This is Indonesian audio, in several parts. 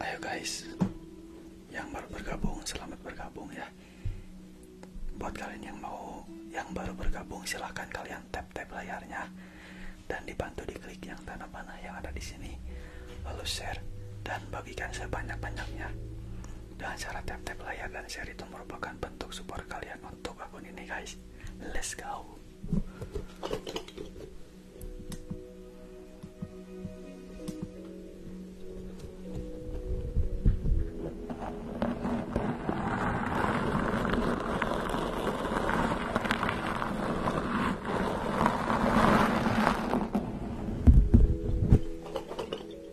Ayo guys, yang baru bergabung selamat bergabung ya. Buat kalian yang mau yang baru bergabung silahkan kalian tap tap layarnya dan dibantu diklik yang tanda panah yang ada di sini lalu share dan bagikan sebanyak banyaknya. Dengan cara tap tap layar dan share itu merupakan bentuk support kalian untuk akun ini guys let's go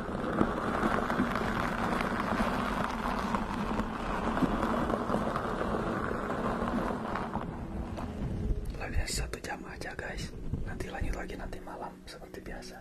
Lagi satu jam aja guys nanti lanjut lagi nanti malam seperti biasa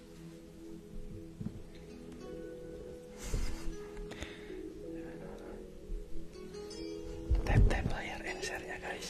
tap tap layar share ya, guys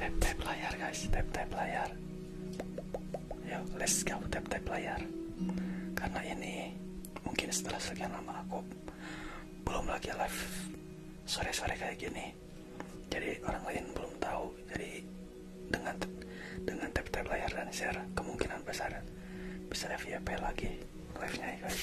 Tap tap layar guys, tap tap layar. Yuk, let's go tap tap layar. Karena ini mungkin setelah sekian lama aku belum lagi live sore-sore kayak gini jadi orang lain belum tahu jadi dengan dengan tap-tap layar dan share kemungkinan besar bisa apa lagi live nya ya guys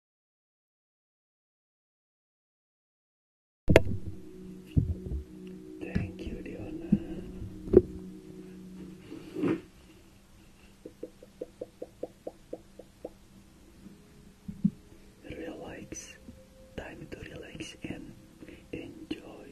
Thank you, Leona. Relax. Time to relax and enjoy.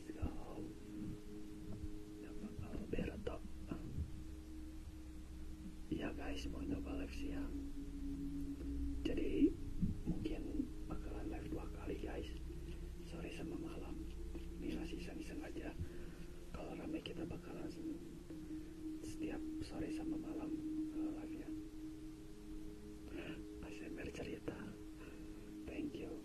استدعاء ya, guys mau nyoba siang jadi mungkin bakalan live dua kali guys sore sama malam ini masih iseng-iseng aja kalau rame kita bakalan setiap sore sama malam eh, live ya ASMR cerita thank you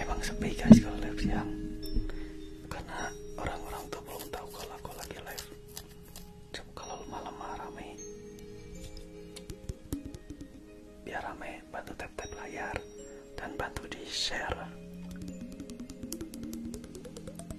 Emang sepi guys kalau live siang Karena orang-orang tuh belum tahu kalau aku lagi live Coba kalau malam rame Biar rame bantu tap-tap layar Dan bantu di share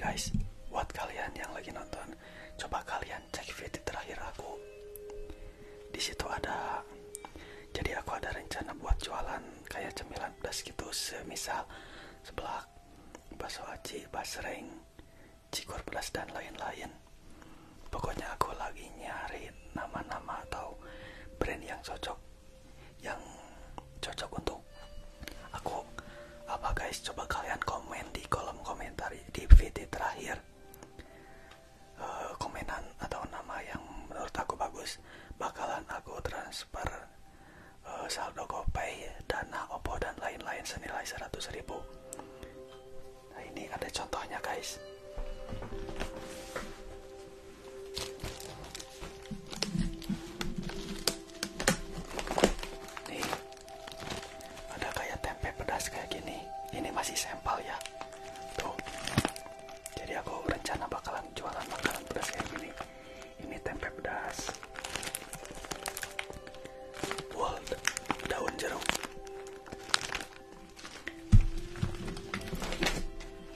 Guys, buat kalian yang lagi nonton, coba kalian cek video terakhir aku. Di situ ada jadi aku ada rencana buat jualan kayak cemilan pedas gitu semisal sebelah bakso aci basreng cikur pedas dan lain-lain pokoknya aku lagi nyari nama-nama atau brand yang cocok yang cocok untuk aku apa guys coba kalian komen di kolom komentar di video terakhir uh, komenan atau nama yang menurut aku bagus bakalan aku transfer uh, saldo GoPay, Dana, Oppo dan lain-lain senilai ribu. nah ini ada contohnya guys nih ada kayak tempe pedas kayak gini ini masih sampel ya tuh jadi aku rencana bakalan jualan makanan pedas kayak gini ini tempe pedas world daun jeruk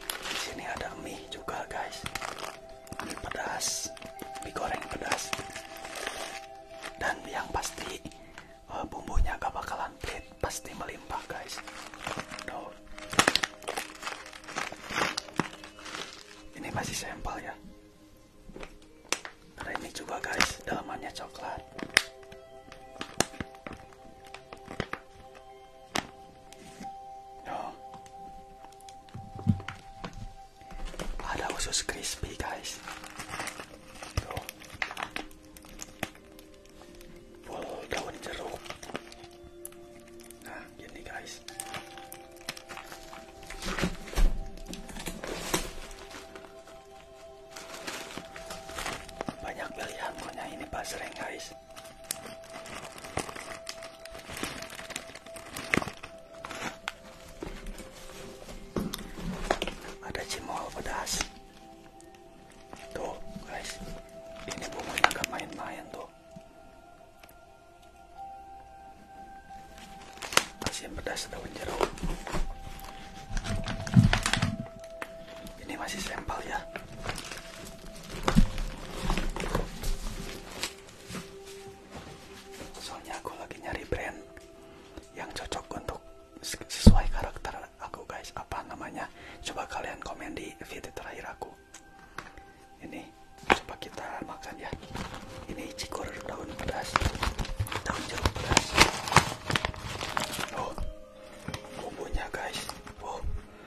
di sini ada mie juga guys mie pedas mie goreng pedas dan yang pasti eh, bumbunya gak bakalan pelit pasti melimpah guys ini masih sampel ya karena ini juga guys dalamannya coklat ada usus crispy guys tuh daun jeruk nah gini guys banyak pilihan punya ini pasreng guys ada cimol pedas tuh guys ini bumbunya agak main-main tuh masih pedas daun jeruk ini masih sampel ya Soalnya aku lagi nyari brand yang cocok untuk sesuai karakter aku guys. Apa namanya? Coba kalian komen di video terakhir aku. Ini coba kita makan ya. Ini cikur daun pedas. Daun jeruk pedas. Oh. Bumbunya guys. Oh.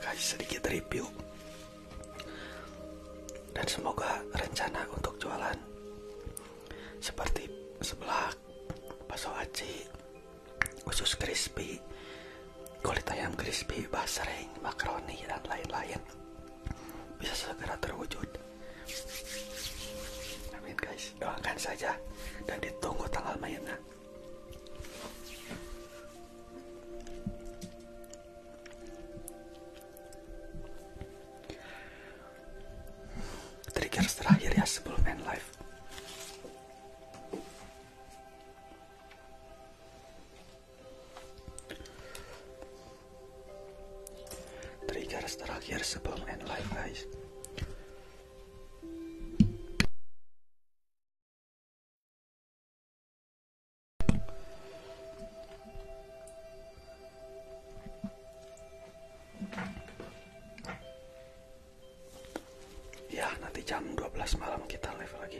guys sedikit review dan semoga rencana untuk jualan seperti sebelah bakso aci, usus crispy, kulit ayam crispy, basreng, makaroni dan lain-lain bisa segera terwujud. Amin guys, doakan saja dan ditunggu tanggal mainnya. Trigger terakhir ya sebelum end live. Triggers terakhir sebelum end live guys. Ya, nanti jam 12 malam kita live lagi.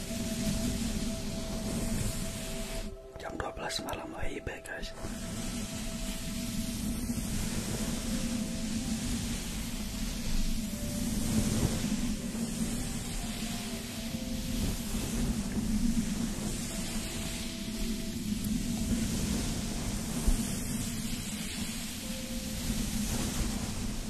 Jam 12 malam WIB guys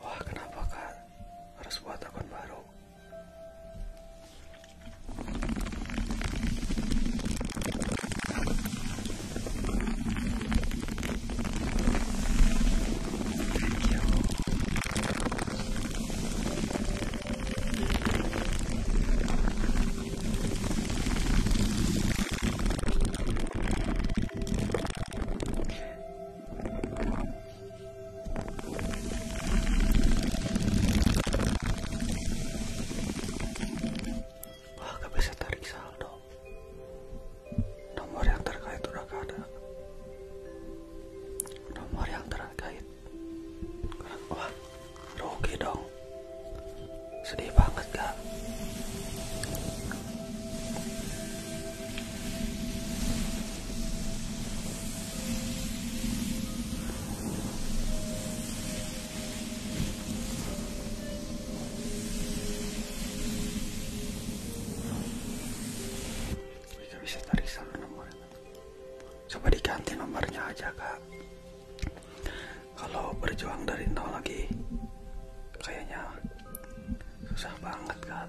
wah kenapa kak harus buat akun baru Wah, gak bisa tarik saldo. Nomor yang terkait udah gak ada. Nomor yang terkait. Wah, rugi dong. Sedih banget gak? Jika bisa tarik sama coba diganti nomornya aja kak kalau berjuang dari nol lagi kayaknya susah banget kan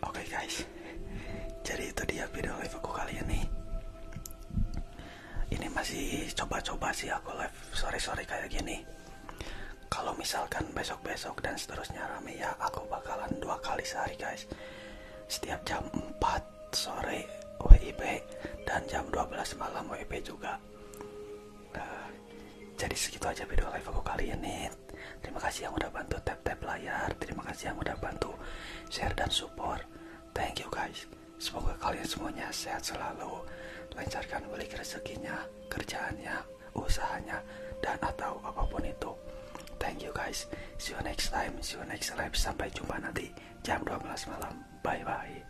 Oke guys, jadi itu dia video live aku kali ini. Ini masih coba-coba sih aku live sore-sore kayak gini. Kalau misalkan besok-besok dan seterusnya rame ya, aku bakalan dua kali sehari guys. Setiap jam 4 sore WIB dan jam 12 malam WIB juga. Nah, jadi segitu aja video live aku kali ini Terima kasih yang udah bantu tap-tap layar. Terima kasih yang udah bantu share dan support. Thank you guys. Semoga kalian semuanya sehat selalu. Lancarkan balik rezekinya, kerjaannya, usahanya, dan atau apapun itu. Thank you guys. See you next time. See you next live. Sampai jumpa nanti jam 12 malam. Bye-bye.